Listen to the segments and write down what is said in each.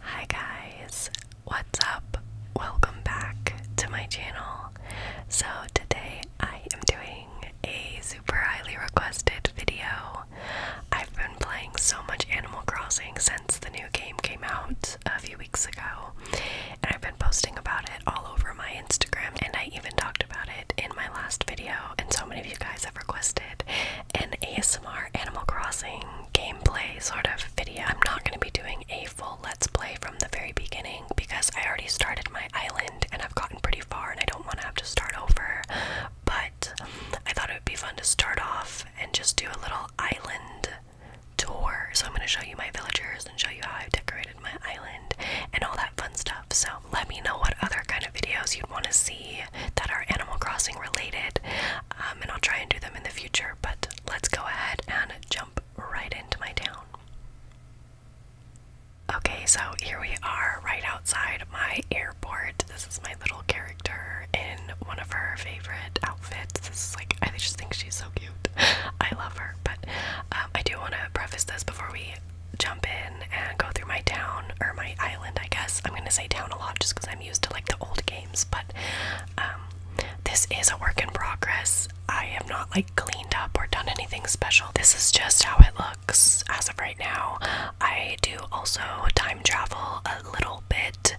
Hi guys, what's up? Welcome back to my channel. So, today I am doing a super highly requested video. I've been playing so much Animal Crossing since the new game came out a few weeks ago, and I've been posting about it all over my Instagram, and I even talked about it in my last video. And so many of you guys have requested an ASMR Animal Crossing gameplay sort of video. I'm not going to be doing a full let's play from the very beginning because I already started my island and I've gotten pretty far and I don't want to have to start over. But I thought it would be fun to start off and just do a little island tour. So I'm going to show you my villagers and show you how I've decorated my island and all that fun stuff. So let me know what other kind of videos you'd want to see that are Animal Crossing related, um, and I'll try and do them in the future. But let's go ahead and jump right into my town. Okay, so here we are right outside my airport. This is my little character in one of her favorite outfits. This is like, I just think she's so cute. I love her, but um, I do want to preface this before we jump in and go through my town or my island, I guess. I'm gonna say town a lot just because I'm used to like the old games, but um, this is a work in progress. I have not like cleaned up or done anything special. This is just how it looks as of right now. I do also time travel a little bit.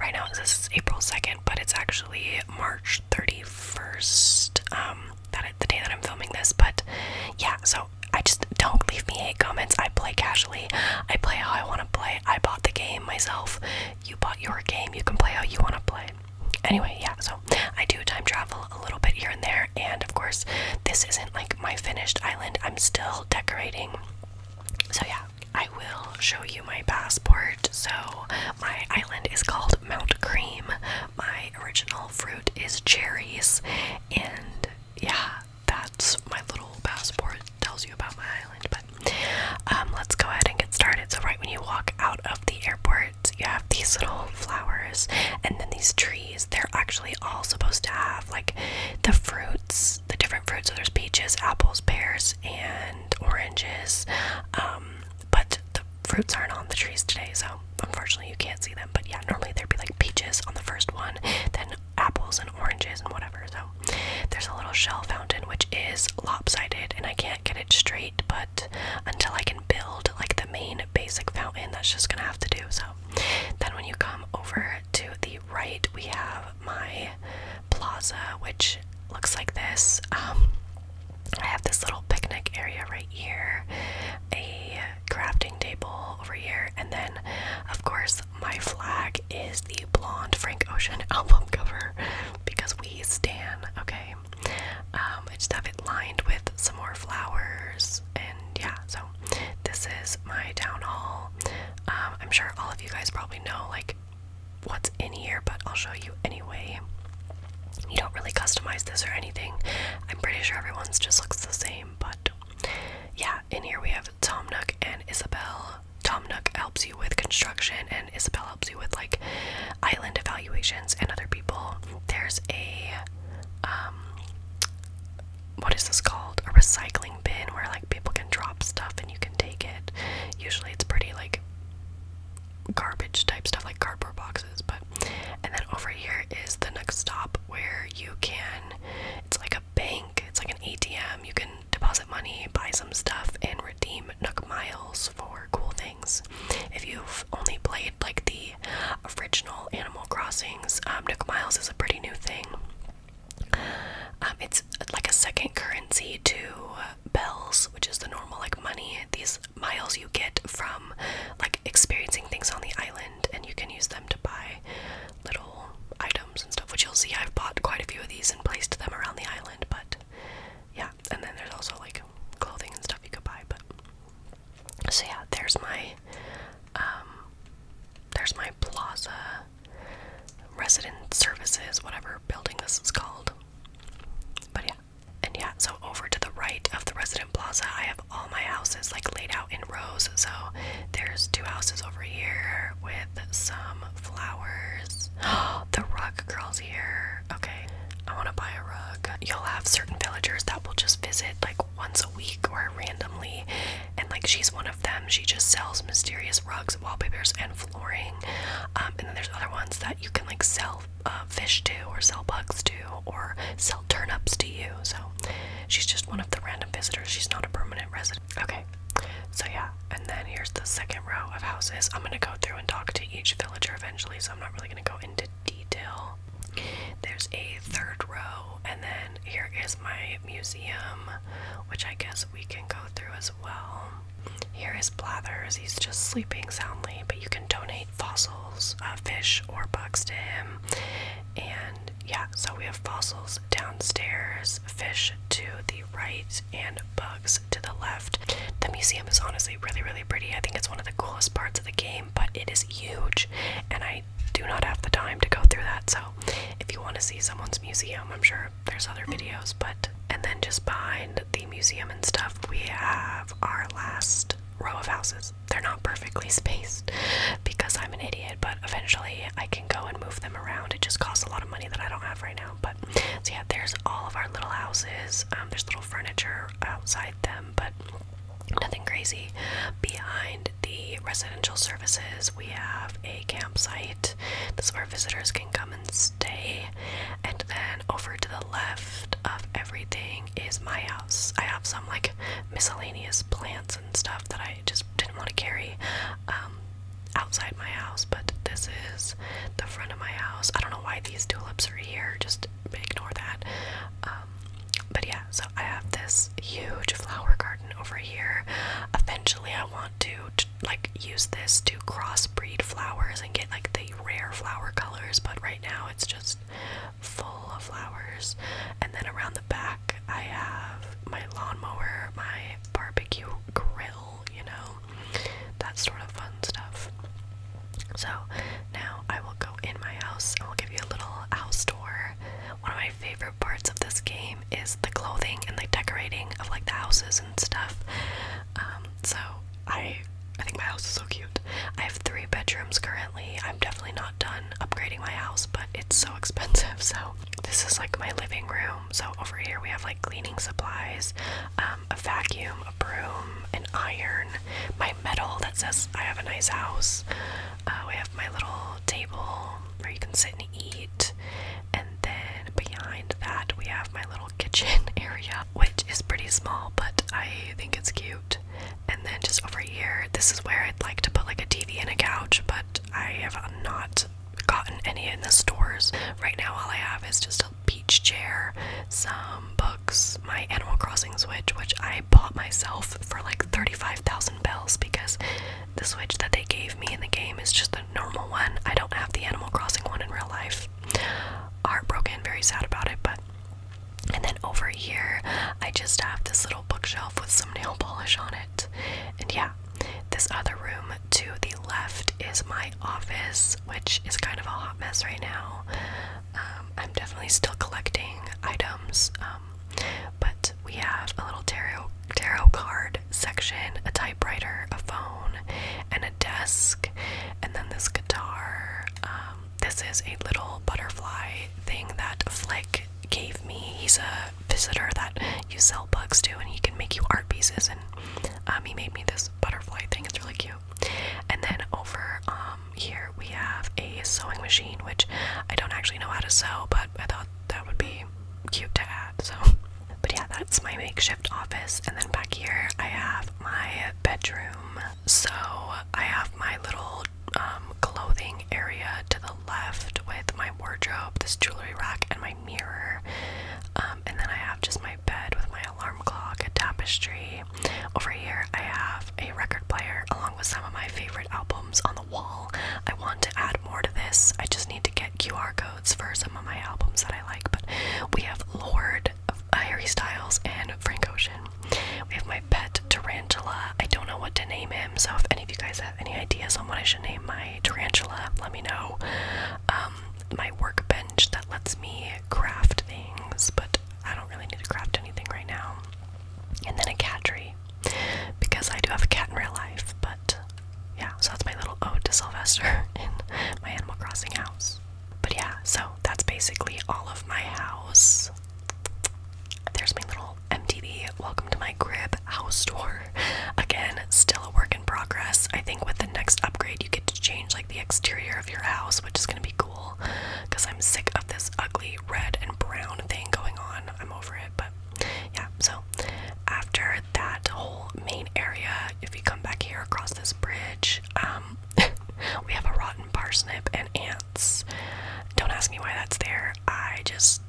Right now, this is April 2nd, but it's actually March 31st. Um, that is the day that I'm filming this, but yeah, so I just don't leave me hate comments. I play casually. I play how I want to play. I bought the game myself. You bought your game. You can play how you want to play. Anyway, yeah, so I do time travel a little bit here and there. And of course, this isn't like my finished island. I'm still decorating. So, yeah, I will show you my passport. So, my island is called Mount Cream. My original fruit is cherries. And yeah, that's my little passport tells you about my island. But um, let's go ahead and get started. So right when you walk out of the airport, you have these little flowers and then these trees. They're actually all supposed to have like the fruits, the different fruits. So there's peaches, apples, pears, and oranges. Um, but the fruits aren't on the trees today, so unfortunately you can't see them. But yeah, normally there'd be like peaches on the first one, then apples and oranges and whatever. So there's a little shell fountain which is lopsided, and I can't get it straight. But until I can build like the main basic fountain, that's just gonna have to do. So then when you come over to the right, we have my plaza, which looks like this. Um, I have this little picnic area right here, a crafting table over here, and then, of course, my flag is the blonde Frank Ocean album cover because we stan. Okay, um, I just have it lined with some more flowers, and yeah, so this is my town hall. Um, I'm sure all of you guys probably know like what's in here, but I'll show you anyway. You don't really customize this or anything. I'm pretty sure everyone's just looks the same but yeah, in here we have Tom Nook and Isabel. Tom Nook helps you with construction, and Isabel helps you with like island evaluations and other people. There's a um, what is this called? A recycling bin where like people can drop stuff and you can take it. Usually it's pretty like garbage type stuff like cardboard boxes, but and then over here is the next stop where you can, it's like a bank, it's like an ATM. You can deposit money, buy some stuff, and redeem Nook Miles for cool things. If you've only played like the original Animal Crossings, um, Nook Miles is a pretty new thing. Um, it's like a second currency to bells, which is the normal like money. These miles you get from like experiencing things on the island and you can use them to buy little items and stuff which you'll see I've bought quite a few of these and placed them around the island but yeah and then there's also like clothing and stuff you could buy but so yeah there's my um, there's my plaza resident services whatever building this is called but yeah and yeah, so over to the right of the resident plaza, I have all my houses like laid out in rows. So there's two houses over here with some flowers. the rug girl's here. Okay, I want to buy a rug. You'll have certain villagers that will just visit like once a week or randomly. And like she's one of them. She just sells mysterious rugs, wallpapers, and flooring. Um, and then there's other ones that you can like sell uh, fish to, or sell bugs to, or sell turnips to you. So she's just one of the random visitors. She's not a permanent resident. Okay, so yeah, and then here's the second row of houses. I'm gonna go through and talk to each villager eventually, so I'm not really gonna go into detail. There's a third row, and then here is my museum, which I guess we can go through as well. Here is Blathers, he's just sleeping soundly, but you can donate fossils, uh, fish or bugs to him. And yeah, so we have fossils downstairs, fish to the right, and bugs to the left. The museum is honestly really, really pretty. I think it's one of the coolest parts of the game, but it is huge, and I do not have the time to go through that. So if you want to see someone's museum, I'm sure there's other videos, but. And then just behind the museum and stuff, we have our last row of houses they're not perfectly spaced because I'm an idiot, but eventually I can go and move them around. It just costs a lot of money that I don't have right now. But so yeah, there's all of our little houses. Um, there's little furniture outside them, but nothing crazy. Behind the residential services, we have a campsite. This is where visitors can come and stay. And then over to the left of everything is my house. I have some like miscellaneous plants and stuff that I just didn't want to carry um, outside my house, but this is the front of my house. I don't know why these tulips are here, just ignore that. Um, but yeah, so I have this huge flower garden over here. Eventually, I want to, to like use this to crossbreed flowers and get like the rare flower colors, but right now it's just full of flowers. And then around the back, I have my lawnmower, my barbecue grill, you know, that sort of fun stuff. So now I will go in my house and we'll give you a little house tour. One of my favorite parts of this game is the clothing and the decorating of like the houses and stuff. Um, so I I think my house is so cute. I have three bedrooms currently. I'm definitely not done upgrading my house, but it's so expensive. So this is like my living room. So over here we have like cleaning supplies, um, a vacuum, a broom, an iron, my medal that says I have a nice house. Uh, we have my little table where you can sit and eat, and then behind that we have my little kitchen area, which is pretty small, but I think it's cute. And then just over here, this is where I'd like to put like a TV and a couch, but I have not gotten any in the stores. Right now, all I have is just a beach chair, some books, my Animal Crossing Switch, which I bought myself for like 35,000 bells because the Switch that they gave me in the game is just the normal one. I don't have the Animal Crossing one in real life. Heartbroken, very sad about it, but and then over here, I just have this little bookshelf with some nail polish on it. And yeah, this other room to the left is my office, which is kind of a hot mess right now. Um, I'm definitely still collecting items, um, but we have a little tarot tarot card section, a typewriter, a phone, and a desk. And then this guitar. Um, this is a little butterfly thing that Flick gave me. He's a visitor that you sell bugs to, and he can make you art pieces. And um, he made me this butterfly thing. It's really cute. And then over um, here we have a sewing machine, which I don't actually know how to sew, but I thought that would be cute to add. So, but yeah, that's my makeshift office. And then back here I have my bedroom, so I have my little um, clothing area to the left with my wardrobe, this jewelry rack, and my mirror. Um, and then I have just my bed with my alarm clock, a tapestry. Over here, I have a record player along with some of my favorite albums on the wall. I want to add more to this. I just need to get QR codes for some of my albums that I like. But we have Lord had Harry Styles and Frank Ocean. We have my pet tarantula. I don't know what to name him, so if any of you guys have any ideas on what I should name my tarantula, let me know. Um, my workbench that lets me craft things, but I don't really need to craft anything right now. And then a cat tree, because I do have a cat in real life, but yeah, so that's my little ode to Sylvester in my Animal Crossing house. But yeah, so that's basically all of my house. There's my little MTV Welcome to My Crib house tour. Again, still a work in progress. I think with the next upgrade, you get to change like the exterior of your house, which is gonna be cool because I'm sick of this ugly red and brown thing going on. I'm over it, but yeah. So, after that whole main area if you come back here across this bridge. Um, we have a rotten parsnip and ants. Don't ask me why that's there. I just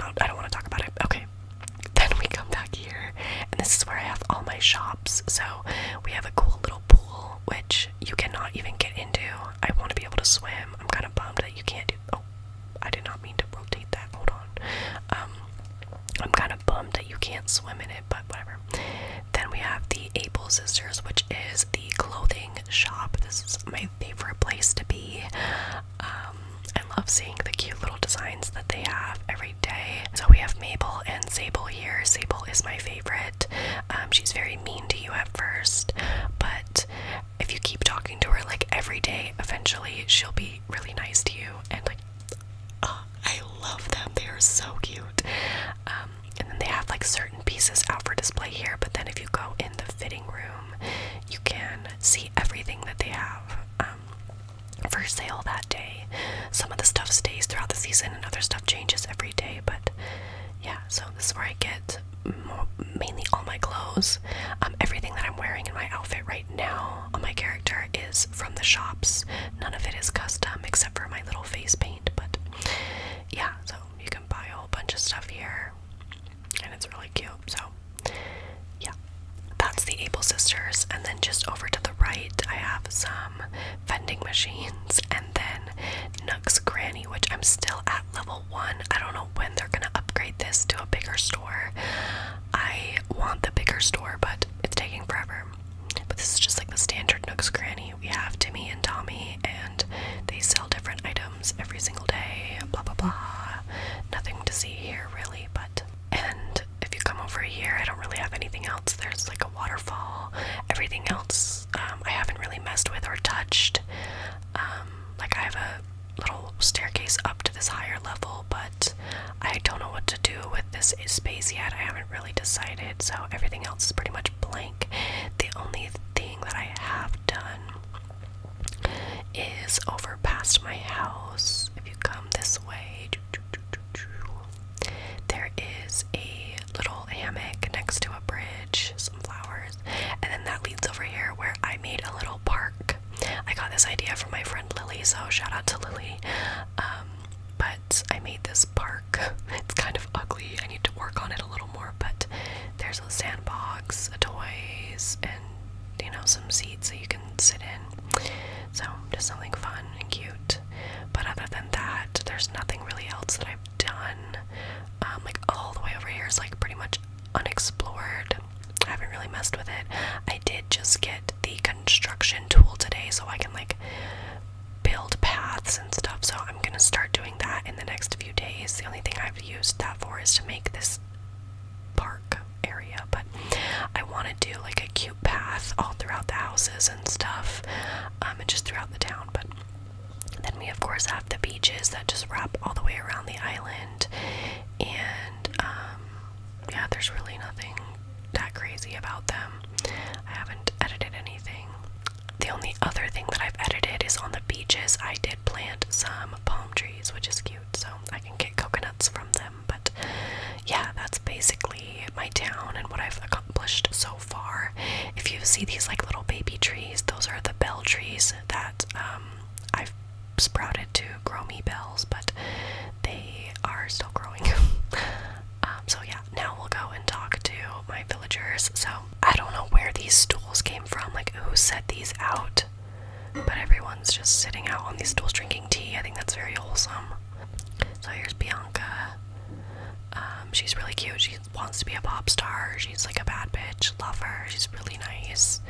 I don't want to talk about it. Okay. Then we come back here, and this is where I have all my shops. So we have a cool little pool, which you cannot even get into. I want to be able to swim. I'm kind of bummed that you can't do. Oh, I did not mean to rotate that. Hold on. Um, I'm kind of bummed that you can't swim in it, but whatever. Then we have the Able Sisters, which is the clothing shop. This is my favorite place to be. Um, I love seeing the cute little designs that they have every day. So we have Mabel and Sable here. Sable is my favorite. Um, she's very mean to you at first, but if you keep talking to her like every day, eventually she'll be really nice to you and like Oh, I love them. They are so cute. Um, and then they have like certain pieces out for display here, but then if you go in the fitting room, you can see everything that they have um, for sale that day. Some of the stuff stays throughout the season, and other stuff changes every day. But yeah, so this is where I get mainly all my clothes, um, everything that I'm wearing in my outfit right now my character is from the shops. None of it is custom except for my little face paint, but yeah, so you can buy a whole bunch of stuff here and it's really cute. So, yeah, that's the Able Sisters. And then just over to the right, I have some vending machines and then Nux Granny, which I'm still at level one. I don't know when they're gonna upgrade this to a bigger store. I want the bigger store, but it's taking forever. But this is just like the standard Nooks Cranny. We have Timmy and Tommy, and they sell different items every single day. Blah blah blah. Nothing to see here really, but and if you come over here, I don't really have anything else. There's like a waterfall. Everything else um, I haven't really messed with or touched. Um, like I have a little staircase up to this higher level, but I don't know what to do with this space yet. I haven't really decided, so everything else is pretty much blank. The only thing that I have done is over past my house. If you come this way, there is a little hammock next to a bridge, some flowers, and then that leads over here where I made a little park I got this idea from my friend Lily, so shout out to Lily. Um, but I made this park. It's kind of ugly. I need to work on it a little more, but there's a sandbox, toys, and you know, some seats that you can sit in. So just something fun and cute. But other than that, there's nothing really else that I've done. Um, like all the way over here is like pretty much unexplored. I haven't really messed with it. I did just get the construction tool today so I can like build paths and stuff. So I'm gonna start doing that in the next few days. The only thing I've used that for is to make this park area, but I want to do like a cute path all throughout the houses and stuff, um, and just throughout the town. But then we, of course, have the beaches that just wrap all the way around the island, and um, yeah, there's really nothing that crazy about them. I haven't edited anything. The only other thing that I've edited is on the beaches. I did plant some palm trees, which is cute, so I can get coconuts from them. But yeah, that's basically my town and what I've accomplished so far. If you see these like little baby trees, those are the bell trees that um, I've sprouted to grow me bells, but they are still growing. Um, so yeah, now we'll go and talk to my villagers. So I don't know where these stools came from, like who set these out, but everyone's just sitting out on these stools drinking tea. I think that's very wholesome. So here's Bianca. Um, she's really cute. She wants to be a pop star. She's like a bad bitch. Love her. She's really nice.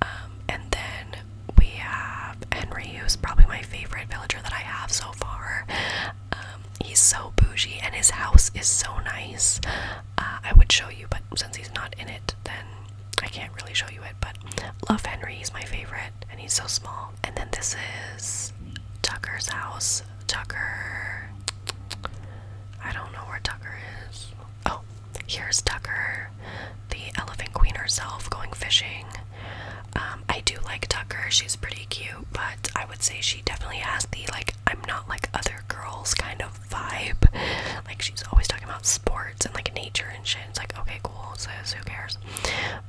Um, and then we have Henry, who's probably my favorite villager that I have so far. Um, he's so bougie, and his house is so nice. Uh, I would show you, but since he's not in it, then I can't really show you it. But love Henry, he's my favorite, and he's so small. And then this is Tucker's house. Tucker. I don't know where Tucker is. Oh, here's Tucker, the elephant queen herself, going fishing. Um, I do like Tucker, she's pretty cute, but I would say she definitely has the like, I'm not like other girls kind of vibe. Like, she's always talking about sports and like nature and shit. It's like, okay, cool, sis, who cares?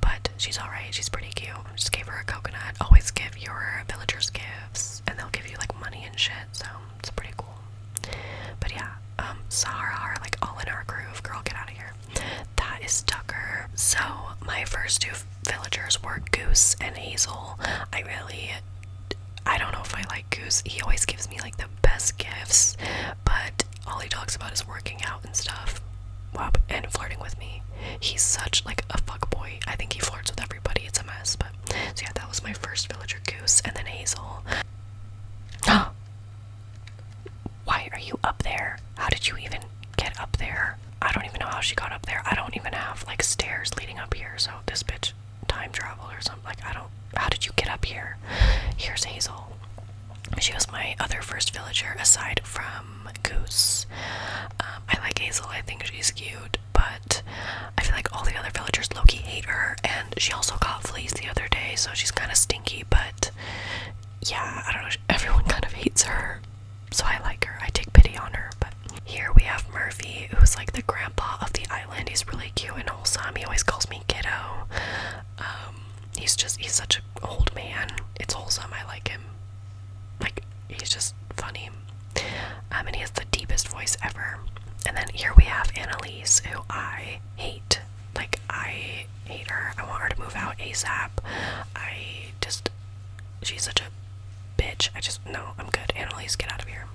But she's alright, she's pretty cute. Just gave her a coconut. Always give your villagers gifts, and they'll give you like money and shit, so. It's pretty cool. But yeah, um, Sahara, like all in our groove, girl, get out of here. That is Tucker. So my first two villagers were Goose and Hazel. I really, I don't know if I like Goose. He always gives me like the best gifts, but all he talks about is working out and stuff. Wow, and flirting with me. He's such like a fuck boy. I think he flirts with everybody. It's a mess. But so yeah, that was my first villager goose, and then Hazel. Why are you up there? How did you even get up there? I don't even know how she got up there. I don't even have like stairs leading up here, so this bitch time traveled or something. Like, I don't. How did you get up here? Here's Hazel. She was my other first villager aside from Goose. Um, I like Hazel, I think she's cute, but I feel like all the other villagers Loki hate her, and she also got fleas the other day, so she's kind of stinky. But yeah, I don't know. Everyone kind of hates her, so I like her. I take pity on her. But here we have Murphy, who's like the grandpa of the island. He's really cute and wholesome. He always calls me kiddo. Um, he's just he's such an old man. It's wholesome. I like him. Like he's just funny. Um, and he has deepest voice ever. And then here we have Annalise, who I hate. Like, I hate her. I want her to move out ASAP. I just. She's such a bitch. I just. No, I'm good. Annalise, get out of here.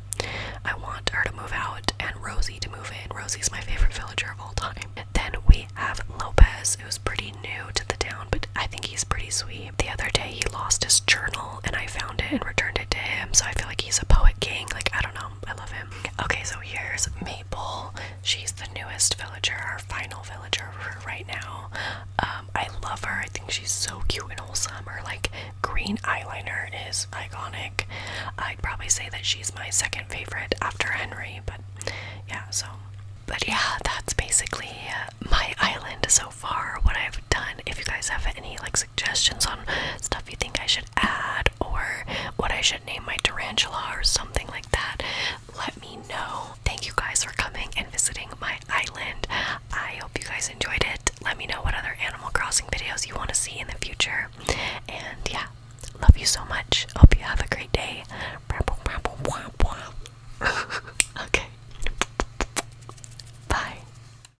I want her to move out and Rosie to move in. Rosie's my favorite villager of all time. Then we have Lopez, who's pretty new to the town, but I think he's pretty sweet. The other day, he lost his journal and I found it and returned it to him. So I feel like he's a poet king. Like, I don't know. I love him. Okay, so here's Maple. She's the newest villager, our final villager right now. Um, I love her. I think she's so cute and wholesome. Her like green eyeliner is iconic. I'd probably say that she's my second favorite after Henry, but yeah, so but yeah, that's basically my island so far. What I've done. If you guys have any like suggestions on stuff you think I should add or what I should name my tarantula or something like that, let me know. Thank you guys for coming and visiting my island. I hope you guys enjoyed it. Let me know what other Animal Crossing videos you want to see in the future. And yeah, love you so much. Hope you have a great day. okay. Bye.